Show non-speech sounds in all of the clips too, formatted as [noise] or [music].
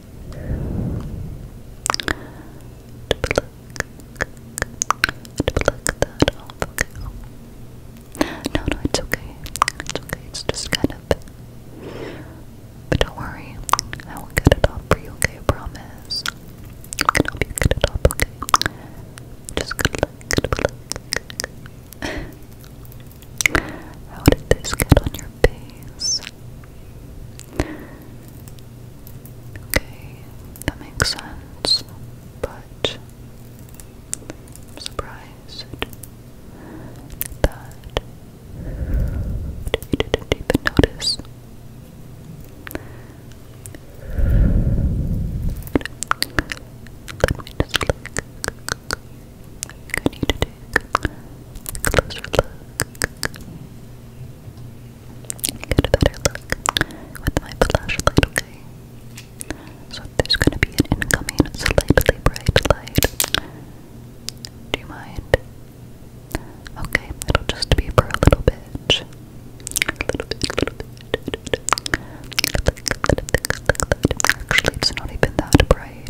that off, No, no, it's okay. It's okay. It's just kind of. But don't worry, I will get it off for you, okay? I promise. I can help you get it off, okay? Just good luck, good How did this get on your face? Okay, that makes sense, but I'm surprised that you didn't even notice closer look. Get look with my flashlight, okay? So there's gonna be an incoming slightly bright light. Do you mind? Okay, it'll be for a little bit. A little bit, a little bit. Actually, it's not even that bright.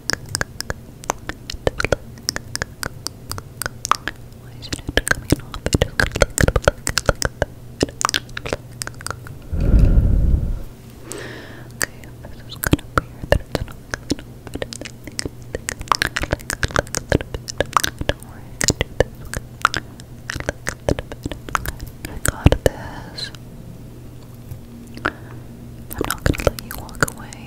Why isn't it coming off? Okay, this is kind of weird that it's not coming off. Don't worry, I got this. I'm not gonna let you walk away.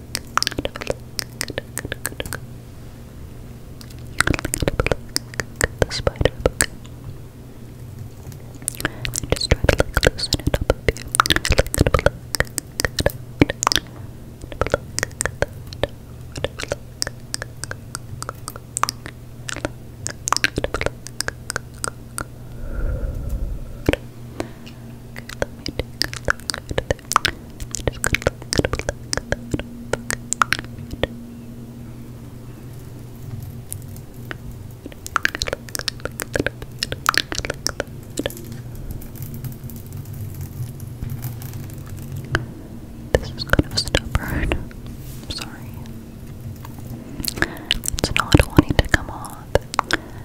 look. The spider book. And just try to like loosen it up a bit. Okay, let me take a look at Just going This is kind of stubborn. sorry. It's not wanting to come off.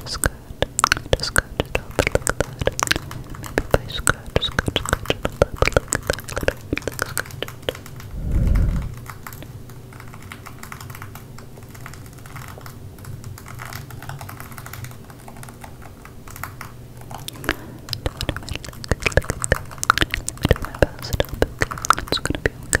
Just good. Just good. It up. Look at that. Maybe if I scratch, scratch, scratch it up. Look at that. Look at that. Let me do my best. It's gonna be okay.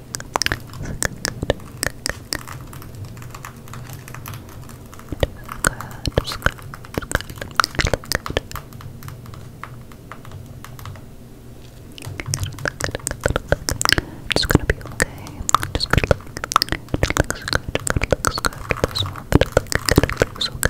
It's gonna be okay. Just good luck. It looks good. It looks good. It looks good. It looks okay.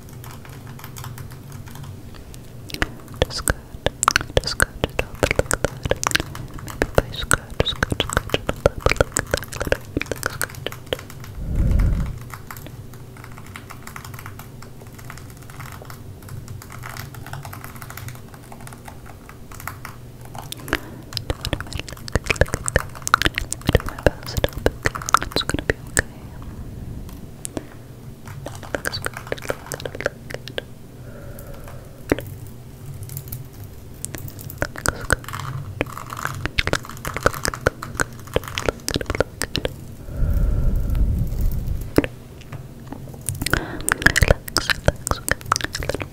Just skirt, just skirt it look at that. Maybe by skirt, skirt, skirt it up, look at that. Skirt it up. Let me do my best, it'll be okay. It's gonna be okay. Okay. That looks good. Looks good. Relax,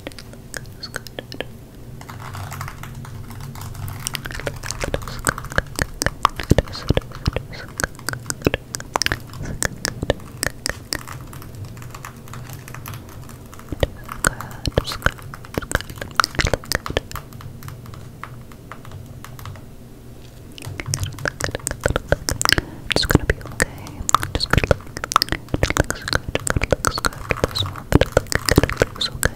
relax, okay. That looks good. It's gonna be okay. Just good. It looks good. It looks good. It looks good. It looks good. It looks okay.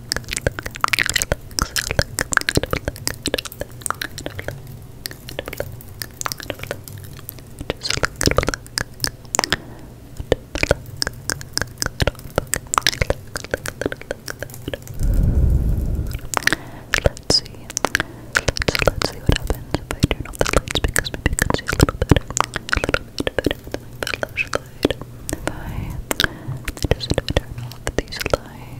Let's see. Let's, let's see what happens if I turn off the lights because maybe I see a little better. A little bit better with If I just turn off these lights.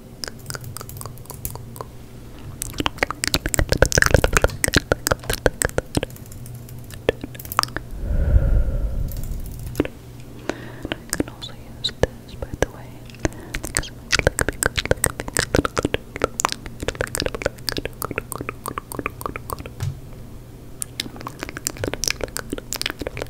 I can also use this, by the way, because it might look be good, look be good, look be good, look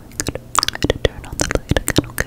I'm going to turn on the light again, okay?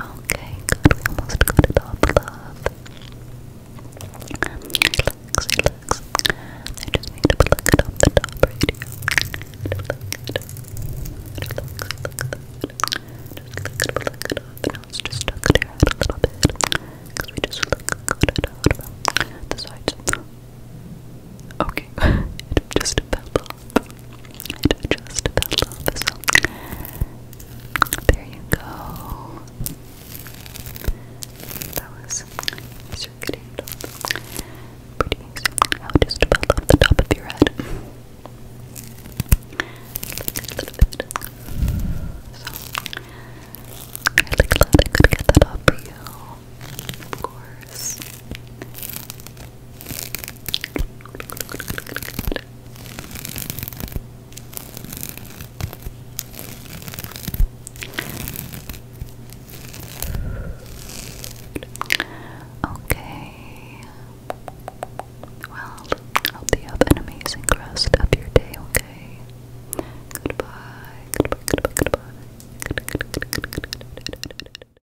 Okay, good. almost got it off, love. Relax, relax. I just need to pluck it off the top right here. Relax, relax. Just pluck it off. Now it's just stuck to your head a little bit. Because we just got it out from the sides. Okay, [laughs] it just fell it just fell off, there you go. That was circuiting pretty easy. How it just fell off the top of your head. A little bit. So, really glad I could get that up for you. Of course. Okay. Well, hope you have an amazing rest your day, okay? goodbye.